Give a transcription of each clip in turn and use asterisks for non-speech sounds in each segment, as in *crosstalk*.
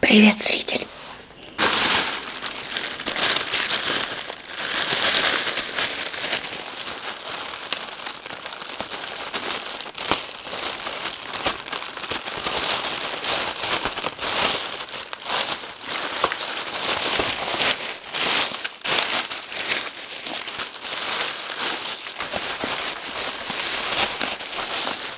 Привет, зритель.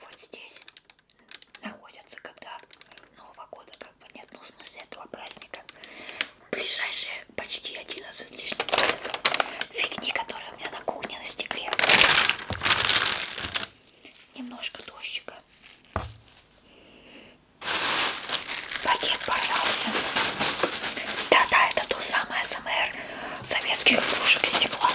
Вот здесь находятся, когда Нового года как бы нет, ну в смысле этого праздника. Ближайшие почти 11 лишних месяцев фигни, которые у меня на кухне на стекле. Немножко дождика. Пакет порвался. Да-да, это то самое СМР, советских кружек стекла.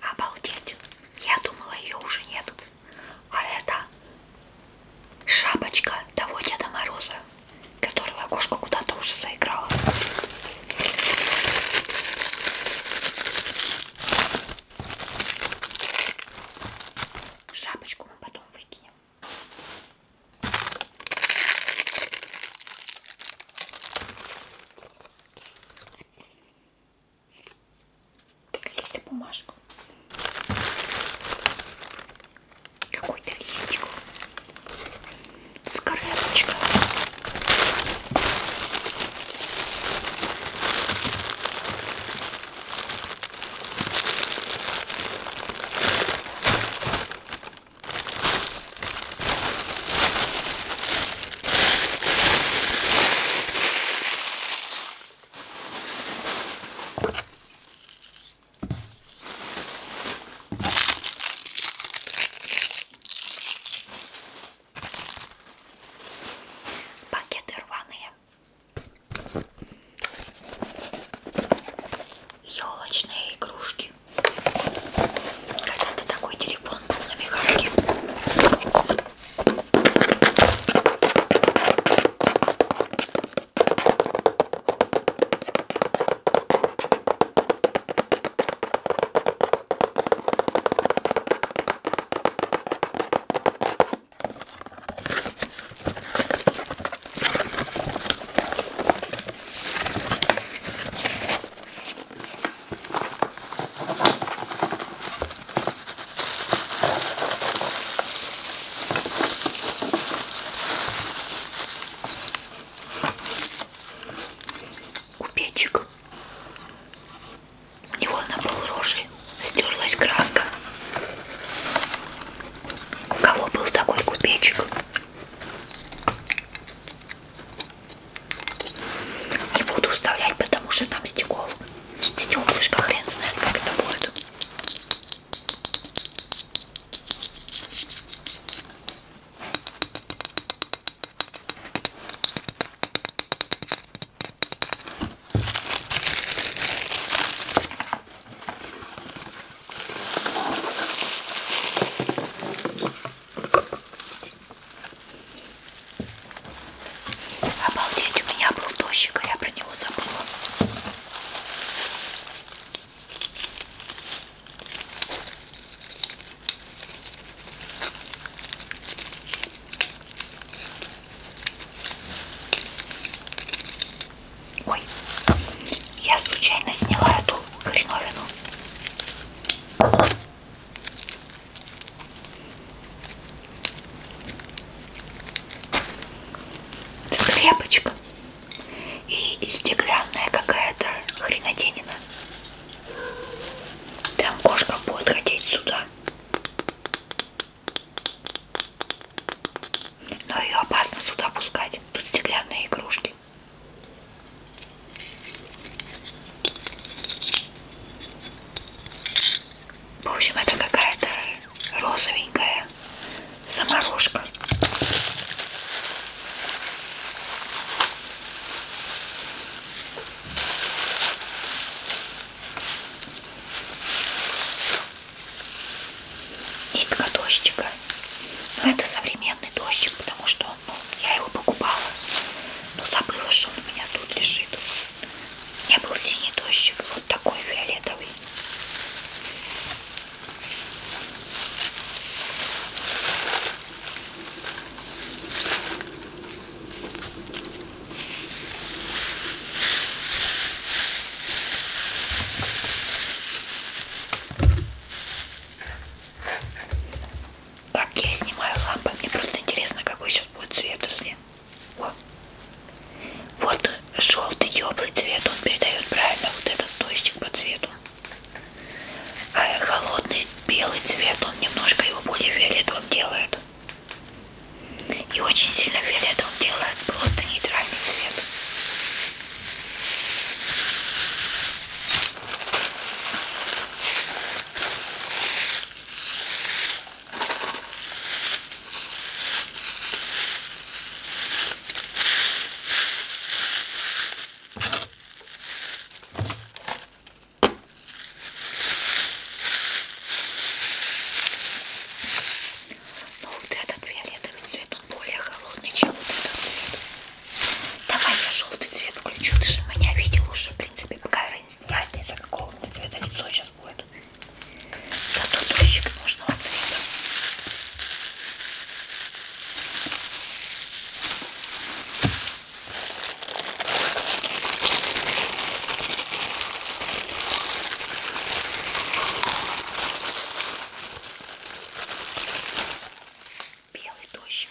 Обалдеть. Я думала, ее уже нет. А это шапочка того Деда Мороза, которого кошка куда-то уже заиграла. Шапочку мы потом выкинем. Какие-то бумажку. Какой-то листик. Скорлепочка. Пакеты рваные. Елочные игрушки. Когда-то такой телефон был на механике. Купечек. У него на пол рожи стерлась краска. У кого был такой купечек? Не буду вставлять, потому что там стекол. Теплышка хрен знает, как это будет. Обалдеть, у меня был дождик, а я про него забыла. Ой, я случайно сняла эту хреновину. Скрепочка и стеклянная какая-то хреноденина. Там кошка будет ходить сюда. Но ее опасно сюда пускать. Тут стеклянные игрушки. В общем, это какая-то розовенькая заморожка. Нитка дождика. Но ну, это современный дождик, потому что ну, я его покупала, но забыла, что он у меня тут лежит. У меня был синий дождик, вот такой фиолетовый. Так, я снимаю лампы. Мне просто интересно, какой сейчас будет цвет, если... О. Вот желтый теплый цвет, он передает правильно вот этот точек по цвету. А холодный белый цвет, он немножко его более фиолетовым делает. И очень сильно фиолетовым делает просто нейтральный цвет. Но ну, вот этот фиолетовый цвет, он более холодный, чем вот этот цвет. Давай я желтый цвет включу. Ты же меня видел уже, в принципе, какая разница, какого цвета лицо сейчас будет. Да тут дождик нужного цвета белый дождик.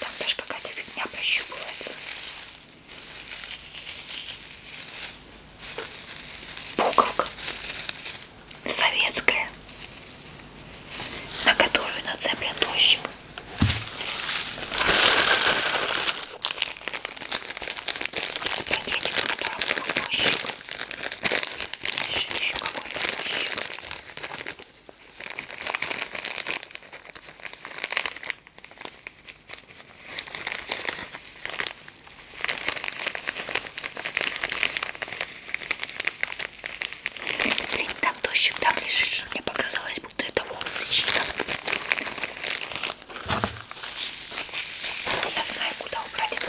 Там даже какая-то фигня прощупывается. Буковка советская, на которую нацеплен дождик. Про дети, которым был дождик. Еще, еще какой-то ящик. Блин, там дождик так да, лежит, что мне показалось, будто это волосы чьи-то. Вот я знаю, куда убрать это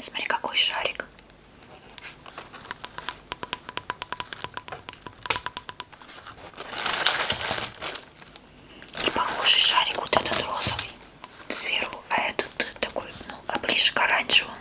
Смотри, какой шарик. И похожий шарик вот этот розовый сверху, а этот такой, ну, оближ а к оранжевому.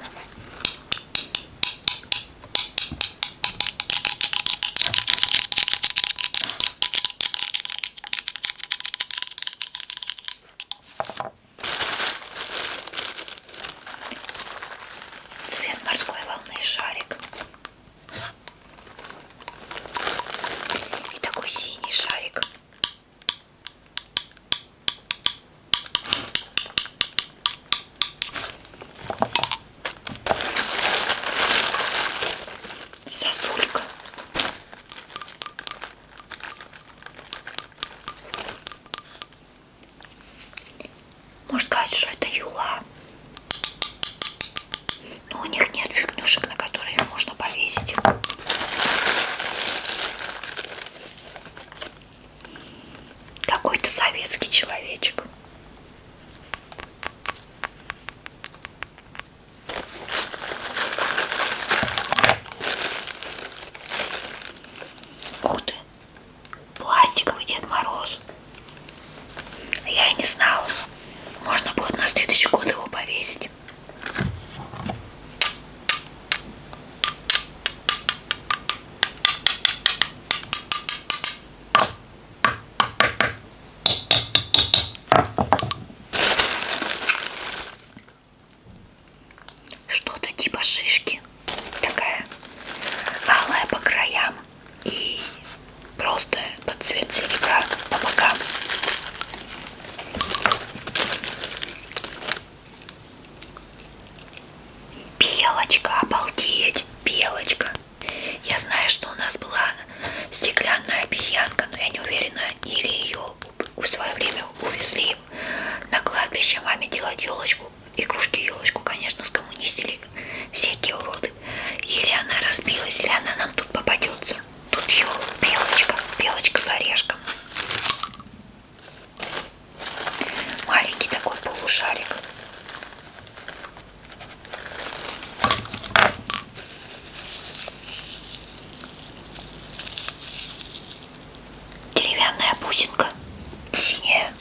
Цвет морской волны шарик. И такой синий шарик. Сосулька. Можно сказать, что это юла. Но у них нет фигнюшек, на которые их можно повесить. Какой-то советский человечек. Ух ты! Пластиковый Дед Мороз. Я и не знала. Можно будет на следующий год его повесить что-то типа шишки. Такая алая по краям и просто под цвет серебра по бокам. Белочка, обалдеть, белочка. Я знаю, что у нас была стеклянная обезьянка, но я не уверена, или ее в свое время увезли на кладбище маме делать елочку, и кружки елочку, конечно, скоммунистили всякие уроды. Или она разбилась, или она нам тут попадется. Тут ее белочка, белочка с орешком. Маленький такой полушарик деревянная бусинка синяя.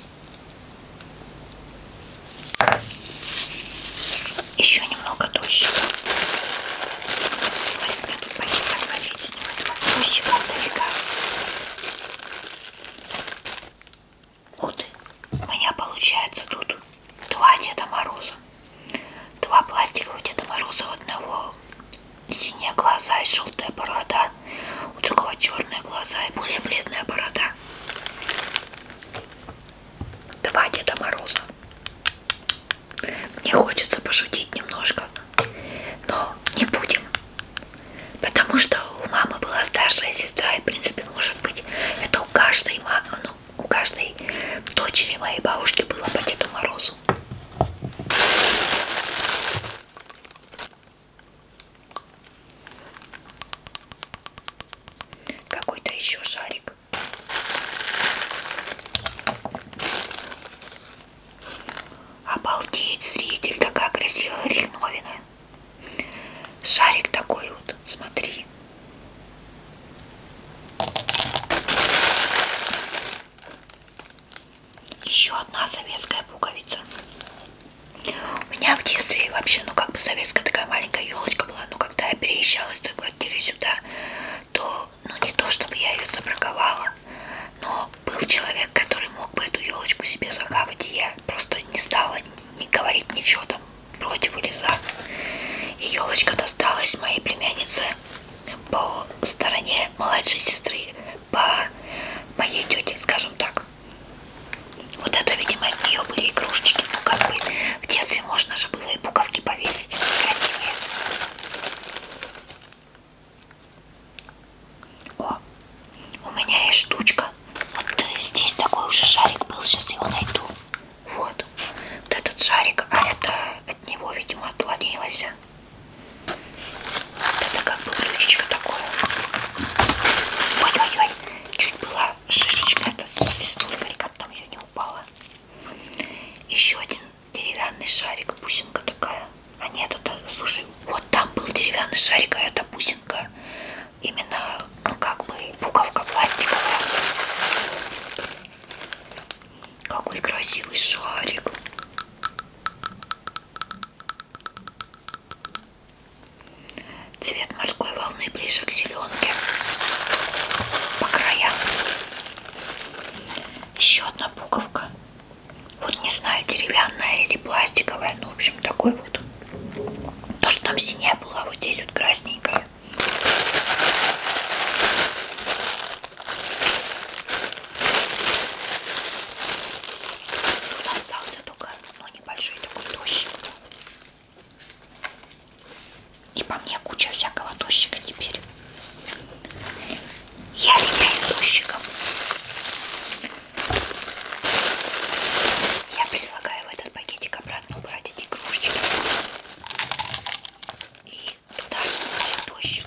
Еще немного дождика. Маленький пакет отвалить с него этого дождика далека. Вот у меня получается тут два Деда Мороза. Два пластиковых Деда Мороза, одного синие глаза и желтая борода. У другого черные глаза и более бледная борода. Два Деда Мороза. Мне хочется пошутить немножко, но не будем. Потому что у мамы была старшая сестра, и в принципе, может быть, это у каждой мамы, ну, у каждой дочери моей бабушки было по Деду Морозу. Какой-то еще шарик. Обалдеть, зритель, такая красивая хреновина. Шарик такой вот, смотри. Еще одна советская пуговица. У меня в детстве вообще, ну как бы советская такая маленькая елочка была, но когда я переезжала из той квартиры сюда, то, ну не то чтобы я ее забраковала, но был человек, который мог бы эту елочку себе захавать, и я просто не стала не говорить ничего там против или за. И елочка досталась моей племяннице по стороне младшей сестры по моей тете, скажем так. Вот это, видимо, от нее были игрушечки. Ну, как бы в детстве можно же было и буковки повесить. Красивее. О, у меня есть штучка. Вот э, здесь такой уже шарик был, сейчас его найду. Вот, вот этот шарик, а это от него, видимо, отклонилось. Вот это как бы блюдечко такое. Ой-ой-ой, чуть была шишечка, это свистулька, или как там ее не упала. Еще один деревянный шарик, бусинка такая. А нет, это, слушай, вот там был деревянный шарик, а это бусинка. Именно, ну как бы, буковка пластиковая. Какой красивый шарик. Цвет морской волны ближе к зеленке по краям. Еще одна пуговка. Вот не знаю, деревянная или пластиковая. Ну, в общем, такой вот. То, что там синяя была, вот здесь вот красненькая. Тут остался только ну, небольшой такой тощик. И по мне куча всякого тощика теперь. Я летаю тощиком. Я предлагаю в этот пакетик обратно убрать эти кружечки. И туда же тощик.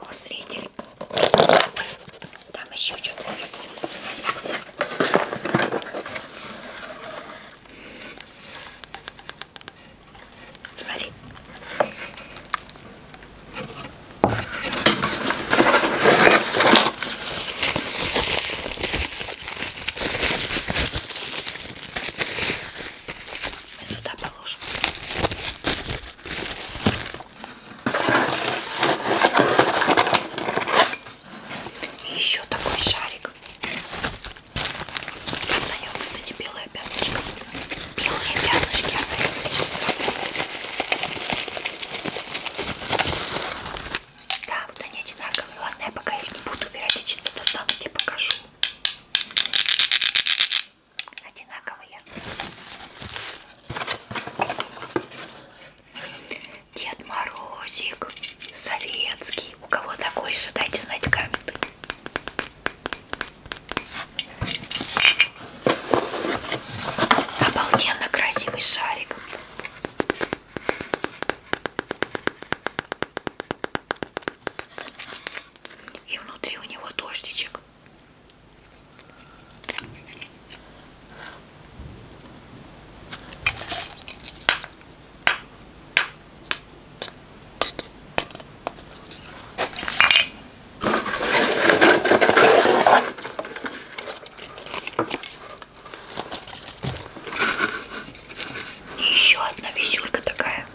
О, зритель. Там еще что-то есть. Смотри. Мы сюда положим. И еще такой шарик. На нем, кстати, белая пятнышко. Белые пятнышки а Да, вот они одинаковые. Ладно, я пока их не буду убирать, я чисто достану, тебе покажу одинаковые. Дед Морозик советский. У кого такой еще дайте знать в комменты. Обалденно красивый шарик. И внутри у него дождичек. И еще одна висюлька такая.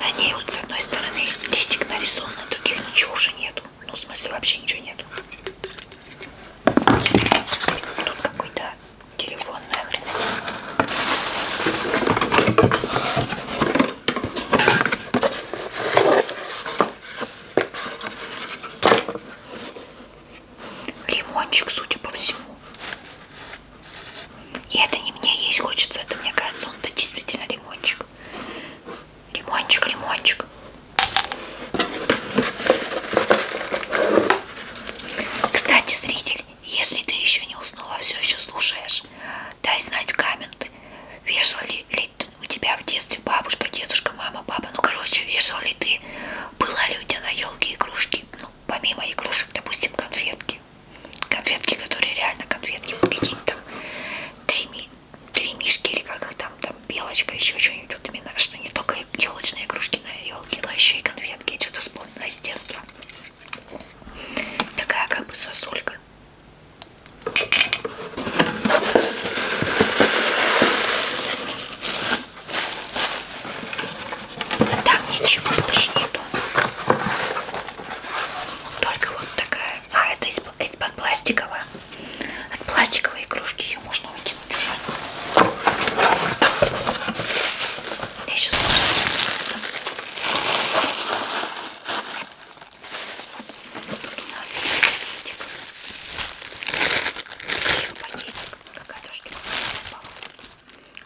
На ней вот с одной стороны листик нарисован, а других ничего уже нету. Ну, в смысле, вообще ничего нету. Тут какой-то телефонная хрень лимончик, судя по всему. И это не мне есть хочется, это мне кажется, он-то действительно лимончик. Лимончик, лимончик. Кстати, зритель, если ты еще не уснула, все еще слушаешь, дай знать в комменты, вешала ли, ли у тебя в детстве бабушка, дедушка, мама, папа, ну короче, вешал ли ты, была ли у тебя на елке игрушки, ну помимо игрушек, допустим, конфетки. Конфетки, которые реально конфетки, какие-то там три, ми, три мишки или как их там, там белочка, еще что-нибудь. Вот именно, что не только елочные игрушки на елке, но еще и конфетки. Я что-то вспомнила с детства. Такая как бы сосулька. Там ничего больше нету. Только вот такая. А, это из-под из пластикового. От пластиковой игрушки ее можно выкинуть уже. Я сейчас... Тут у нас пакетик. Еще пакетик. Какая-то штука.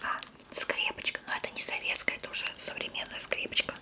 А, скрепочка, но это не советская, это уже современная скрепочка.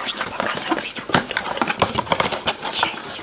Можно пока закрыть вот эту вот часть.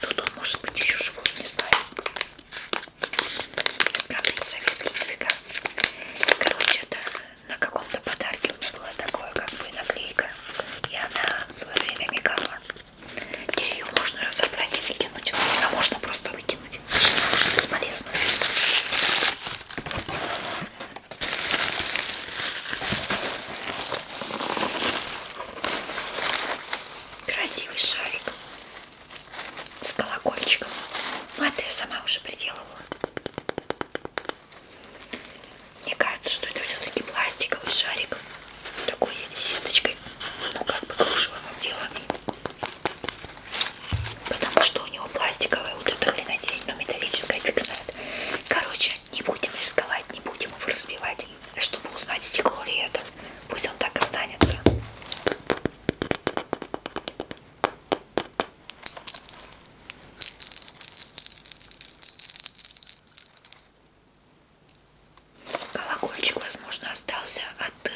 Тут он может быть еще живой, не знаю. Правда, по советски нифига. Короче, это на каком-то подарке у меня было такое, как бы наклейка. И она в свое время мигала. Где ее можно разобрать и выкинуть. А можно просто выкинуть. Она уже бесполезна. Красивый шарик с колокольчиком. Ну, это я сама уже приделывала. Мне кажется, что это все-таки пластиковый шарик. Такой сеточкой. Ну, как бы кружевом отделанный. Потому что у него пластиковая вот эта хренотень, но металлическая фиксация. Короче, не будем рисковать разбивать, не будем его разбивать, чтобы узнать, стекло ли это. Пусть он так останется. Колокольчик, возможно, остался от э,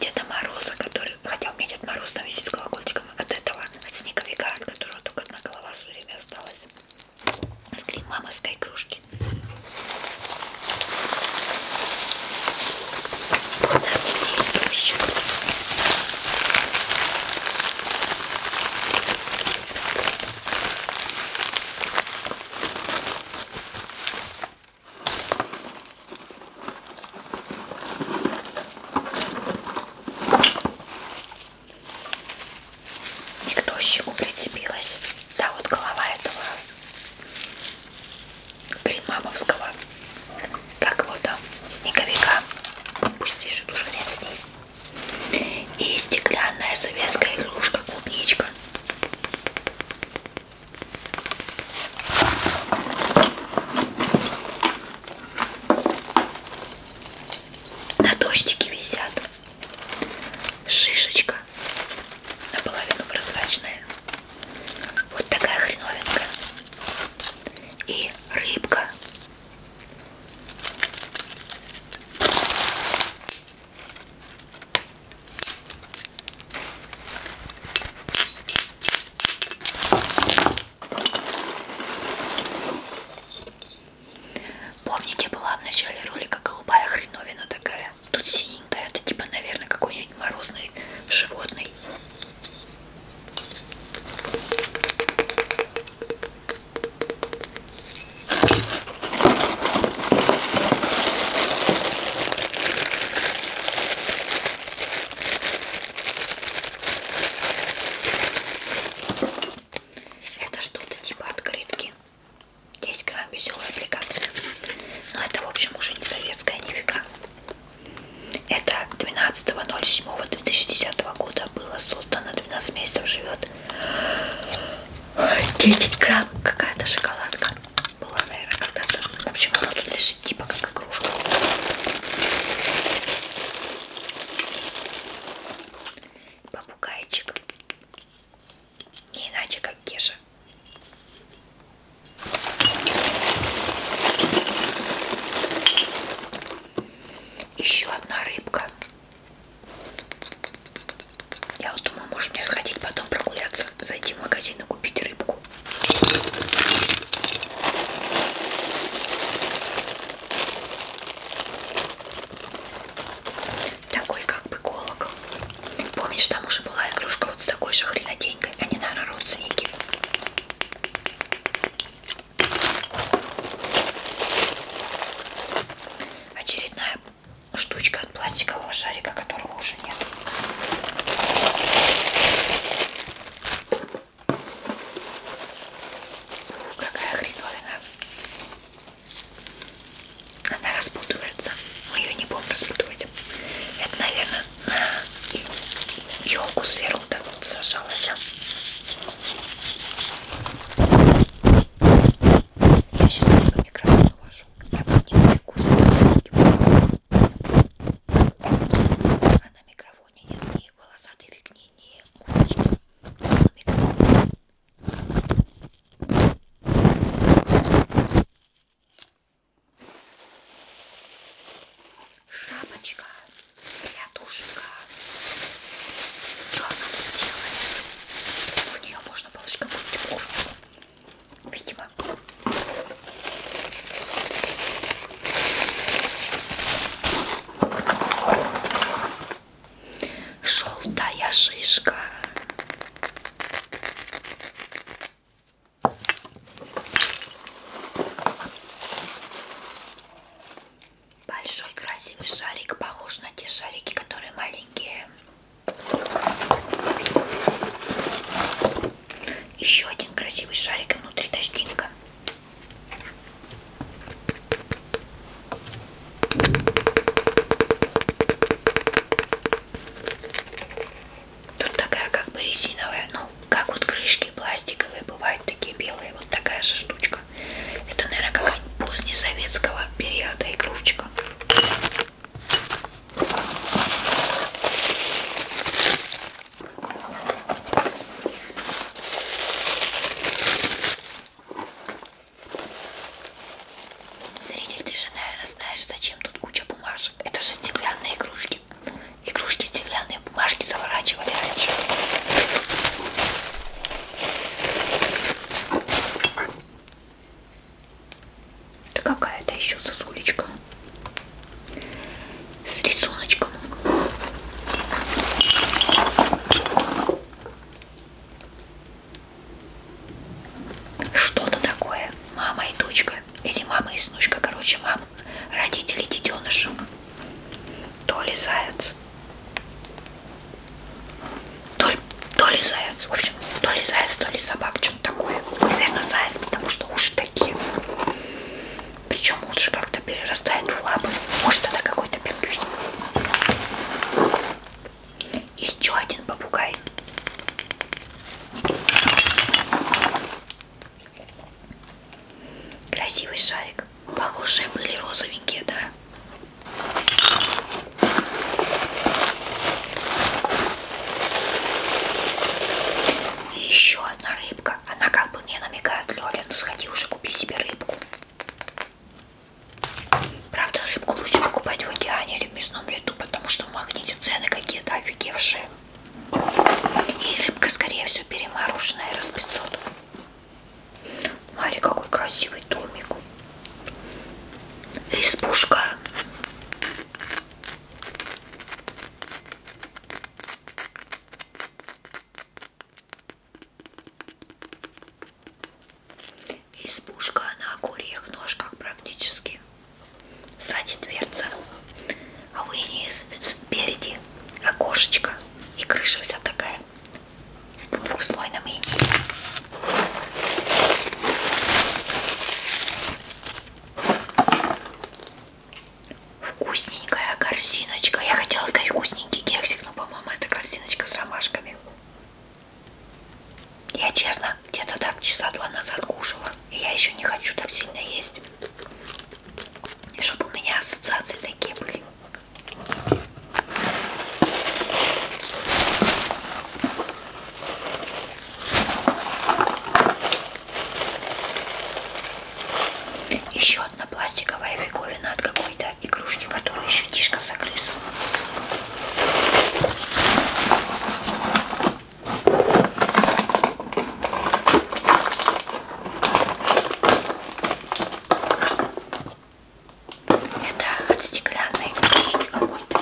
Деда Мороза, который... Хотя у меня Дед Мороз там висит с колокольчиком от этого, от снеговика, от которого только одна голова все время осталась. Смотри, мамовской игрушки. У нас есть не к дождику прицепилась. Да, вот голова этого Гримамовского как вот там, снеговика. Пусть лежит уже рядом с ней. И стеклянная советская игрушка клубничка. На дождике висят шишечка наполовину прозрачная. Вот такая хреновинка. И рыбка. Помните, была в начале ролика голубая хреновина такая? Тут синенькая, это типа, наверное, какой-нибудь морозный животный. Это что-то типа открытки. 10 грамм веселая аппликация. Но это, в общем, уже не советская нифига. Это 12.07.2010 года было создано. 12 месяцев живет. 10 грамм. Какая-то шоколадка. Была, наверное, когда-то. В общем, она тут лежит типа как игрушка попугайчик. Не иначе, как Кеша. Еще одна рыбка. Я вот думаю, может мне сходить потом прогуляться, зайти в магазин и купить рыбку. Такой как бы колокол. Помнишь, там уже была игрушка вот с такой же хренотенькой. Они, наверное, родственники. Очередная штучка от пластикового шарика, которого уже нет. Какая хреновина. Она распутывается. Мы ее не будем распутывать. Это, наверное, на елку сверху так вот сажалась. А? Я сейчас на микрофон положу. Я подниму А на микрофоне нет ни волосатых фигни, ни уточки. Микрофон Шапочка для душика. Что она тут делает? У нее можно получить какую-то курочку. Видимо желтая шишка. Большой красивый шарик, похож на те шарики, которые маленькие. Еще один красивый шарик и внутри дождинка. Тут такая как бы резиновая, ну как вот крышки пластиковые бывают такие белые, вот такая же штучка. Это, наверное, какая-нибудь позднесоветского периода игрушечка. Зритель, ты же, наверное, знаешь, зачем тут куча бумажек. Это же стеклянные игрушки. Игрушки стеклянные бумажки заворачивали раньше. Да какая-то еще сосулечка. С рисуночком. Что-то такое. Мама и дочка. Или мама и снучка. Короче, мама. Родители детеныша. То ли заяц. То ли, то ли заяц. В общем, то ли заяц, то ли собак. Что-то такое. Наверное, заяц, потому что уши такие. Причем лучше как-то перерастает в лапы. Может, это какой-то пингвин. Еще один попугай. Красивый шарик. Похожие были розовенькие, да? И еще одна рыбка. Она как бы мне намекает, Лёля, ну сходи уже купи себе рыбку. Правда, рыбку лучше покупать в океане или в мясном лету, потому что в магните цены какие-то офигевшие. И рыбка, скорее всего, перемороженная, раз 500. Смотри, какой красивый домик. Избушка. Избушка на курьих ножках практически. Сзади дверца, а вы не спереди окошечко и крыша вся такая в двухслойном ине. Вкусненькая корзиночка. Я хотела сказать вкусненький кексик, но, по-моему, это корзиночка с ромашками. Я честно, где-то так часа два назад кушала. И я еще не хочу так сильно есть. И чтобы у меня ассоциации такие были. Еще одна пластиковая фиговина от какого какой-то игрушки, которую еще Тишка загрызла. Это от стеклянной игрушки какой-то.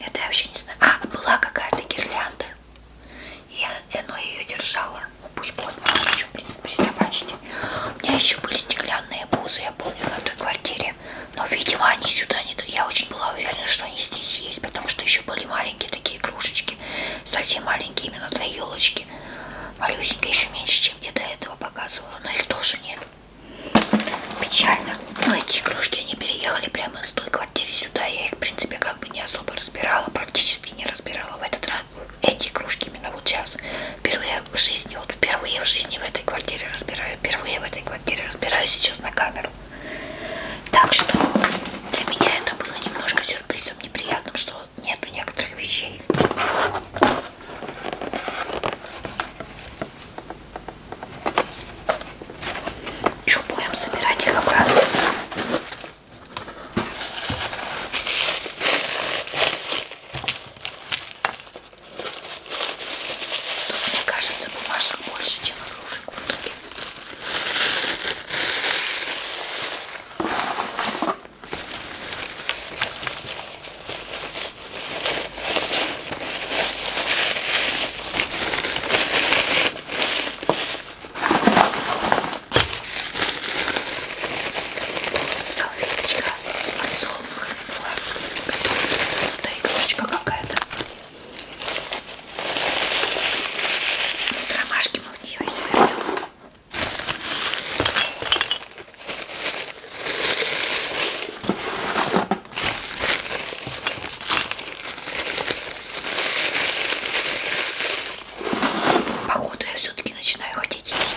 Это я вообще не знаю. А, была какая-то гирлянда. И она ее держала. Ну, пусть будет, мало что принесет присобачить. У меня еще были стеклянные бузы, я помню, на той квартире. Но, видимо, они сюда не... Я очень была уверена, что они здесь есть, потому что еще были маленькие такие игрушечки. Совсем маленькие, именно для елочки. Малюсенькая, еще меньше, чем где до этого показывала. Но их тоже нет. Печально. Но ну, эти игрушки, они переехали прямо из той квартиры сюда. Я их, в принципе, как бы не особо разбирала, практически не разбирала. В этот раз эти игрушки девочки именно вот сейчас. Впервые в жизни, вот впервые в жизни в этой квартире разбираю, впервые в этой квартире разбираю сейчас на камеру. Так что для меня это было немножко сюрпризом неприятным, что нету некоторых вещей. Че, будем собирать их обратно? Тут, мне кажется, бумажек больше, чем игрушек в итоге. Салфеточка с подсолнухом. Да игрушечка какая-то. Ромашки мы в нее извернем. Походу я все-таки начинаю хотеть есть.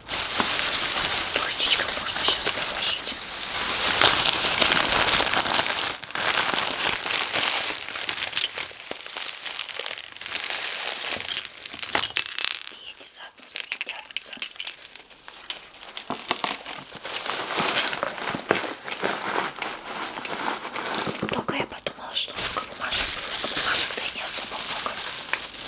Дождичком можно сейчас положить. И эти ну, заодно затянутся. Только я подумала, что много бумажек, бумажек-то и не особо много.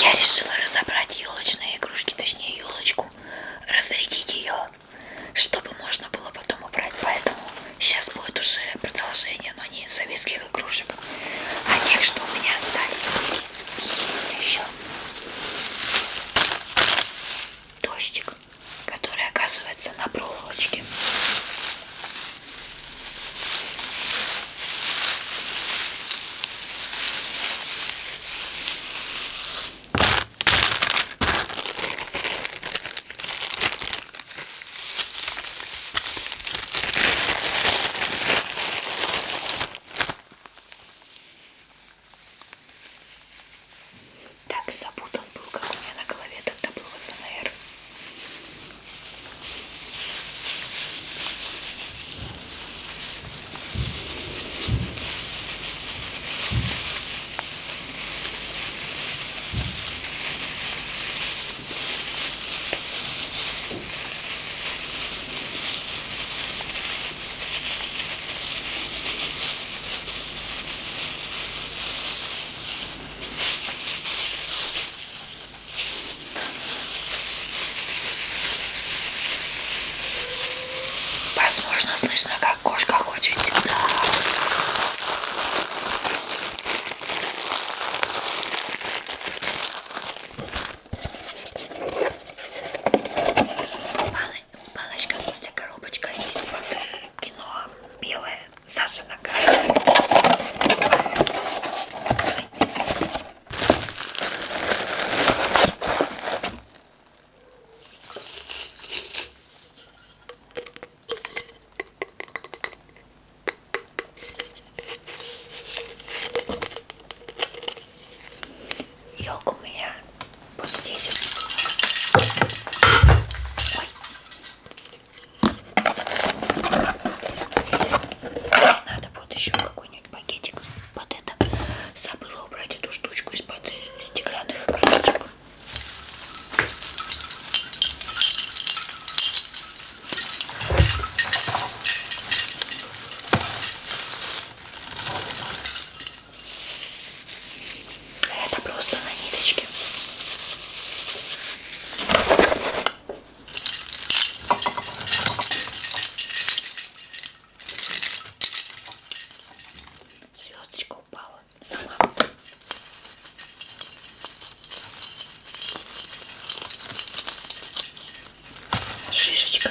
Я решила разобрать елочные игрушки, точнее елочку, разрядить ее, чтобы можно было потом убрать. Поэтому сейчас будет уже продолжение, но не советских игрушек, а тех, что у меня остались. Есть еще дождик который оказывается на проволочке. Так и запутан был, как у меня на голове тогда был СМР. Возможно, слышно, как кошка ходит сюда. Мало баночка, в смысле коробочка из-под кино белая Саша нога елка у меня вот здесь. Ой. Надо будет еще какой-нибудь пакетик под это. Забыла убрать эту штучку из-под стеклянных крышечек. Это просто на ниточке. Звездочка упала сама. Шишечка.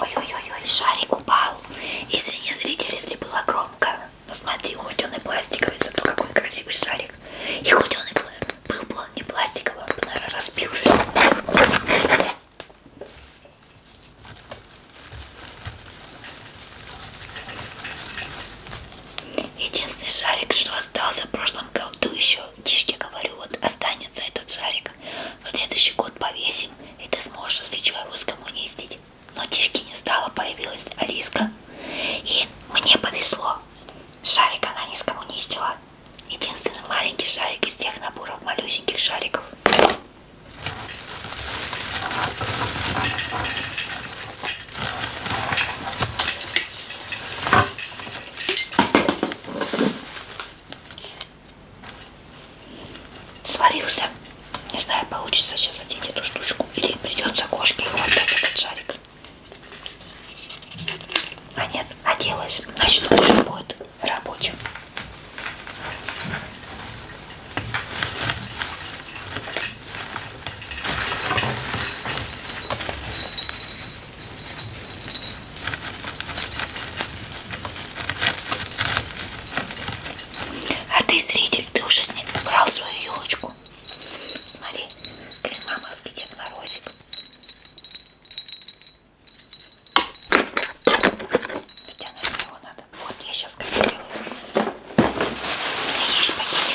Ой-ой-ой, шарик упал. Извини, зритель, если было громко. Но смотри, хоть он и пластиковый, зато какой красивый шарик. И хоть он и пластиковый был не пластиковый, он а бы, наверное, разбился. Единственный шарик, что остался в прошлом году еще, тишки говорю, вот останется этот шарик. В следующий год повесим, и ты сможешь, если чего, его скоммунистить. Но тишки не стало, появилась Алиска. И мне повезло. Шарик она не скоммунистила. Единственный маленький шарик из тех наборов малюсеньких шариков. Сварился. Не знаю, получится сейчас одеть эту штучку или придется кошке хватать этот шарик. А нет, оделась. А Значит, лучше будет рабочим. А ты, зритель, ты уже с ним брал свою елочку. Смотри, кремамовский Дед Морозик. Хотя, наверное, его надо. Вот, я сейчас как делаю. Есть пакетик.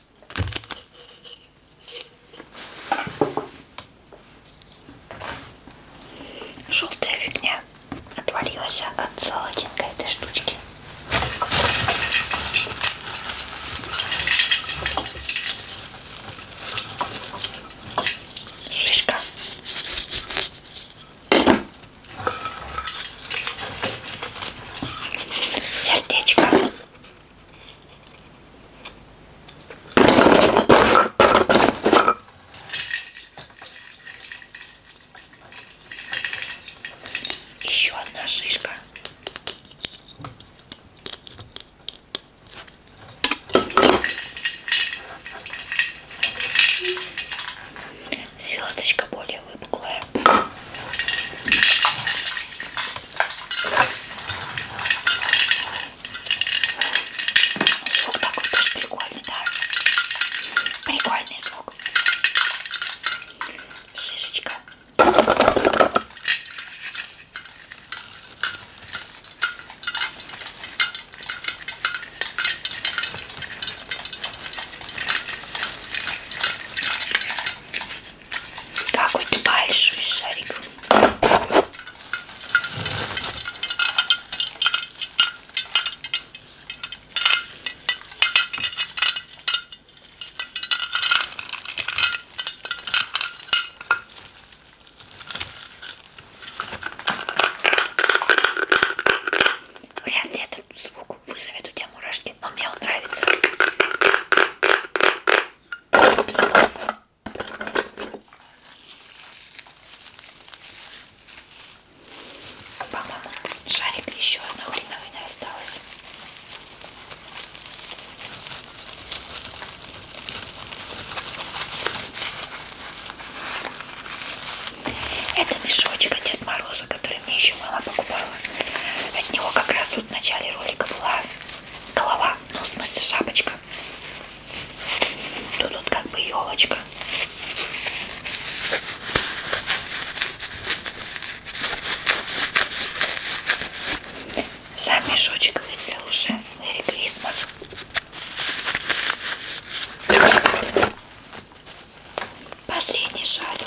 Желтая фигня отвалилась от солодинка этой штучки. Фишка. Сердечко. Еще одна шишка. Звездочка более выпуклая. Звук такой тоже прикольный, да? Прикольный звук. Шишечка. Какой-то большой шарик. Вряд ли этот звук вызовет у тебя мурашки, но мне он нравится. По-моему, шарик еще одна хреновина осталась. Это мешочек от Дед Мороза, который мне еще мама покупала. От него как раз тут в начале ролика была голова, ну в смысле шапочка. Тут, тут как бы елочка. Сам мешочек выделил уже. Merry Christmas. Последний шарик.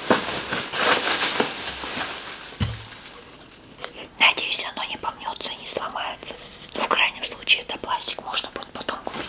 Надеюсь, оно не помнется, не сломается. В крайнем случае, это пластик можно будет потом купить.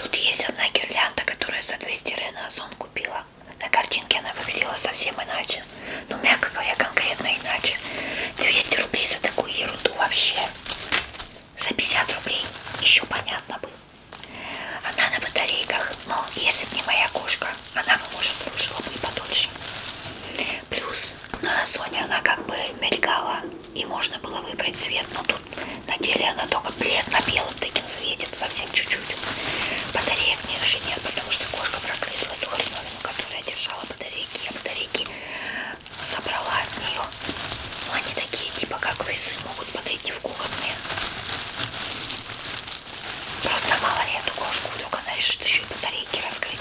Тут есть одна гирлянда, которую за 200 рена Озон купила. На картинке она выглядела совсем иначе. Ну, мягко говоря, конкретно иначе. 200 рублей за такую ерунду вообще за 50 рублей еще понятно бы. Она на батарейках, но если бы не моя кошка, она бы, может, служила бы и подольше. Плюс на Розоне она как бы мелькала, и можно было выбрать цвет, но тут на деле она только плед на белом таким цвете, совсем чуть-чуть. Батареек мне уже нет, потому что кошка прогрызла эту хреновину, которая держала батарейки. Я батарейки собрала от нее. Но ну, они такие, типа как весы, могут подойти в кухонные. Просто мало ли эту кошку, вдруг она решит еще и батарейки раскрыть.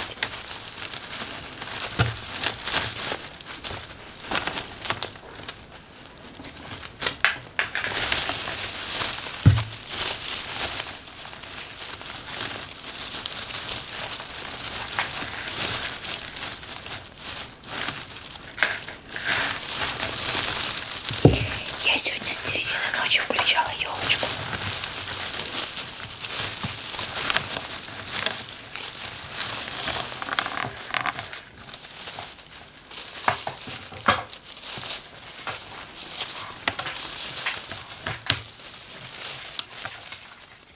Я сегодня с середины ночи включала елочку.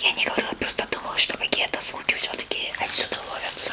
Я не говорю, я просто думала, что какие-то звуки все-таки отсюда ловятся.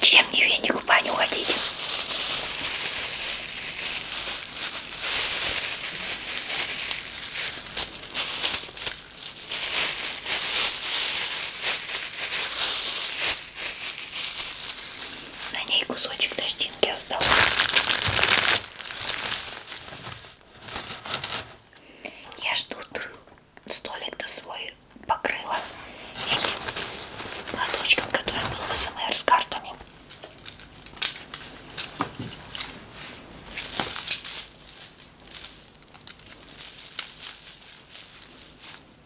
Чем не веник в баню ходить? На ней кусочек тростинки остался. Я жду столик-то свой покрыла этим платочком, который был в СМР с картами.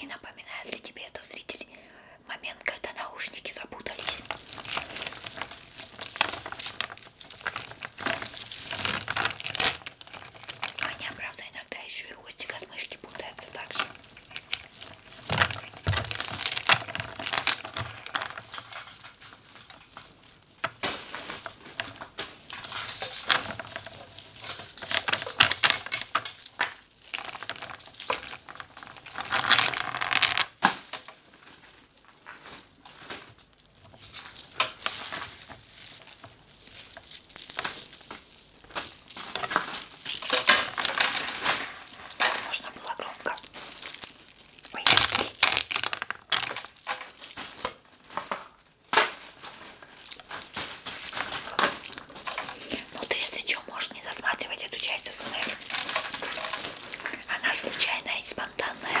Не напоминает ли тебе это, зритель, момент, когда наушники запутались? Аня, правда, иногда еще и хвостик от мышки путается также. Можно было громко. Ой. Ну ты, если что, можешь не засматривать эту часть СНР. Она случайная и спонтанная.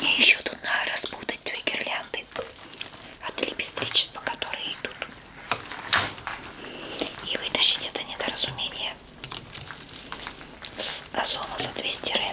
Мне еще тут надо распутать две гирлянды от а лепестричества, которые идут. И вытащить это недоразумение с озона за 200 рен.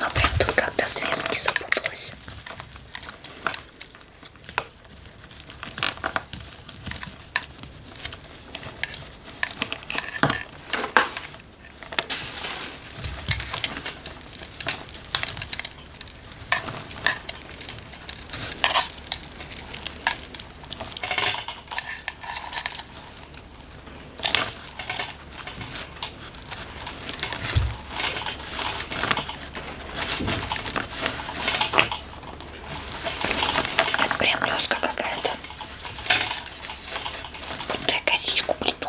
А прям тут как-то связки запуталась. Это прям леска какая-то. Будто я косичку плету.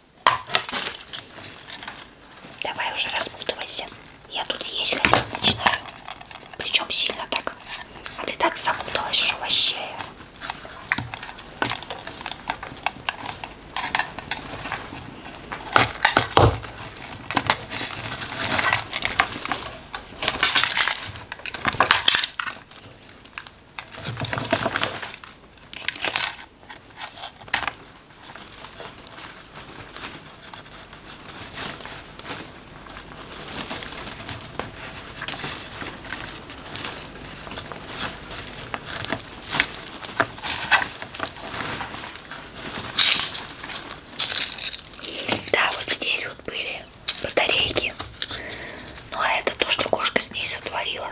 Давай уже распутывайся. Я тут есть хотя начинаю. Причем сильно так. А ты так запуталась, что вообще. Да, вот здесь вот были батарейки. Ну а это то, что кошка с ней сотворила.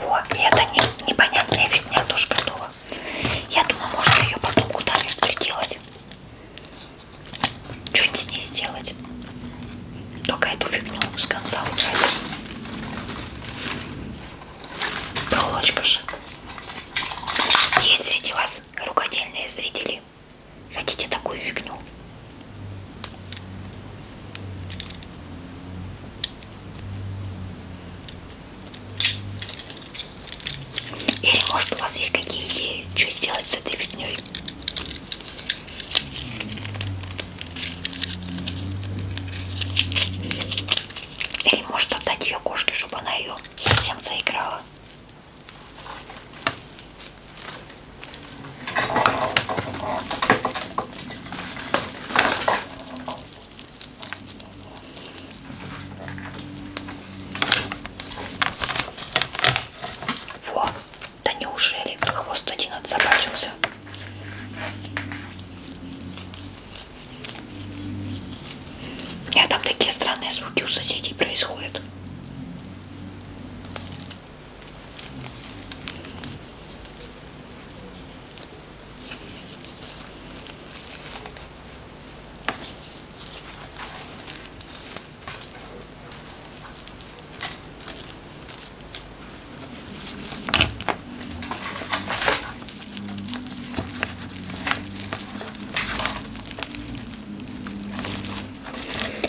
Вот, и это не, непонятная фигня тоже готова. Я думаю, можно ее потом куда-нибудь приделать. Что-нибудь с ней сделать. Только эту фигню с конца убрать. Проволочка же. Есть среди вас нас, рукодельные зрители, хотите такую фигню? Или может у вас есть какие идеи, что сделать с этой фигней? Или может отдать ее кошке, чтобы она ее совсем заиграла? Во, да неужели хвост один отзаботился? Нет, там такие странные звуки у соседей происходят.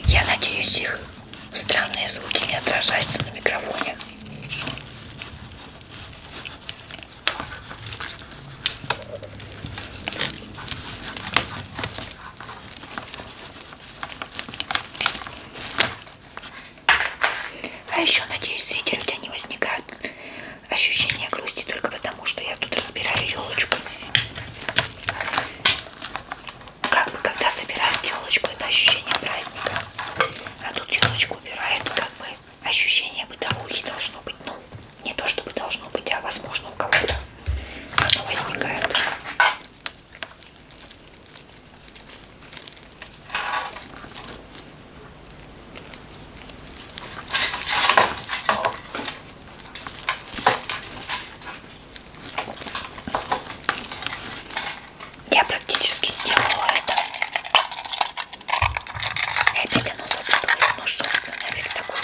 Я надеюсь, их странные звуки не отражаются на микрофоне. А еще, надеюсь, зритель у тебя не возникает ощущение грусти только потому, что я тут разбираю елочку. Как бы когда собирают елочку, это ощущение праздника. А тут елочку убирают, как бы ощущение бытовухи должно быть. Ну, не то чтобы должно быть, а возможно у кого-то оно возникает. Я практически сделала это. И опять оно запуталось. Ну что за нафиг такое?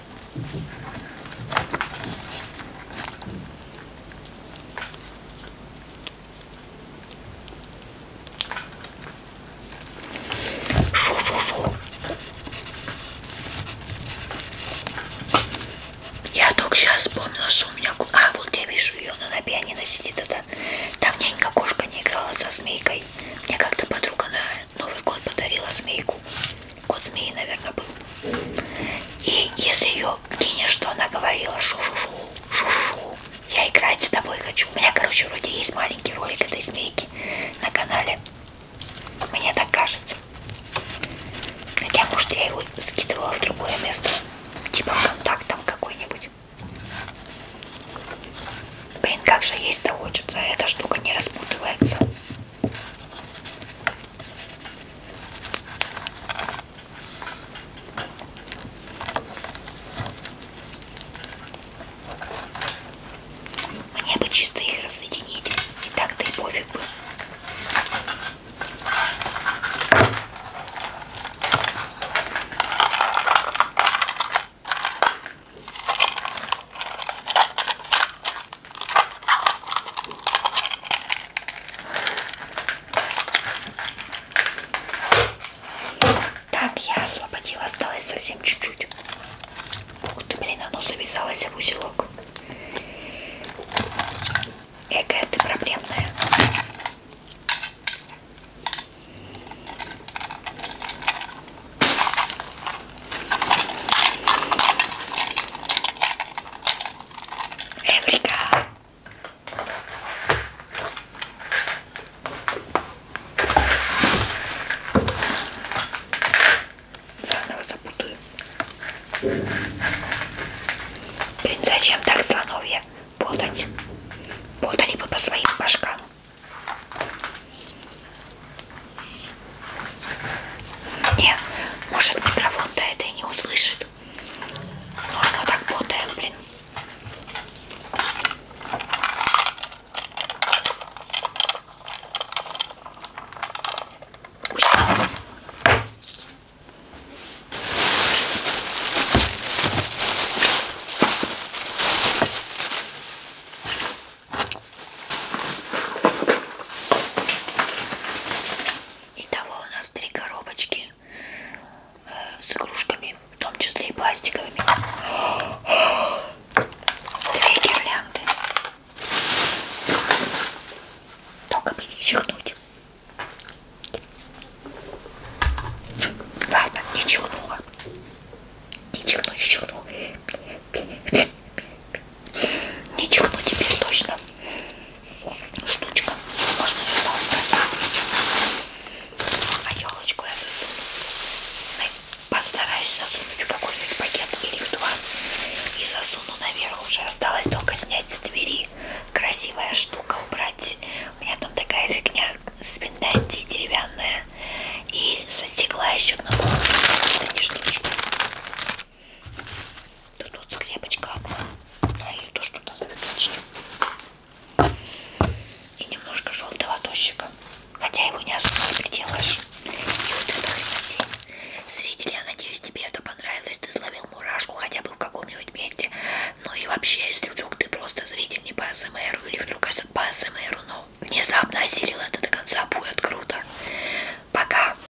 Я только сейчас вспомнила, что у меня... А, вот я вижу ее, она на пианино сидит. Это... Там нянька кошка не играла со змейкой. Мне как-то подруга на Новый год подарила змейку кот змеи, наверное, был. И если ее кинешь, что она говорила, шу-шу-шу, шу-шу-шу, я играть с тобой хочу. У меня, короче, вроде есть маленький ролик этой змейки на канале. Мне так кажется. Хотя, может, я его скидывала в другое место. Типа контакт там какой-нибудь. Блин, как же есть-то хочется. Эта штука не распутывается. Мне бы чисто их разъединить. И так-то и пофиг бы. Так, я освободила, осталось совсем чуть-чуть. Ух ты, блин, оно завязалось в узелок. Эка, ты проблемная. Эврика! Заново запутаю. Блин, зачем так слоновье путать? Путали бы по своим башкам. Не, может микрофон-то это и не услышит. Но оно так ботает, блин. Итого у нас три коробочки э, с игрушками, в том числе и пластиковыми. *gasps* Две гирлянды. Только бы не чихнуть. Ладно, не чихнула. Не чихну, не чихну. Ничего теперь точно. Штучка. Можно сюда убрать. А елочку а я засуну. Постараюсь засунуть в какой-нибудь пакет или в два. И засуну наверх уже. Осталось только снять с двери. Красивая штука убрать. У меня там такая фигня спинданти деревянная. И со стекла еще одна была. Тут вот скрепочка одна, но ну, а ее тоже туда заточню. И немножко желтого тощика, хотя его не особо не приделаешь. И вот эта хренотень. Зрители, я надеюсь, тебе это понравилось, ты словил мурашку хотя бы в каком-нибудь месте. Ну и вообще, если вдруг ты просто зритель не по СМР или вдруг по СМР, но внезапно осилил это до конца, будет круто. Пока!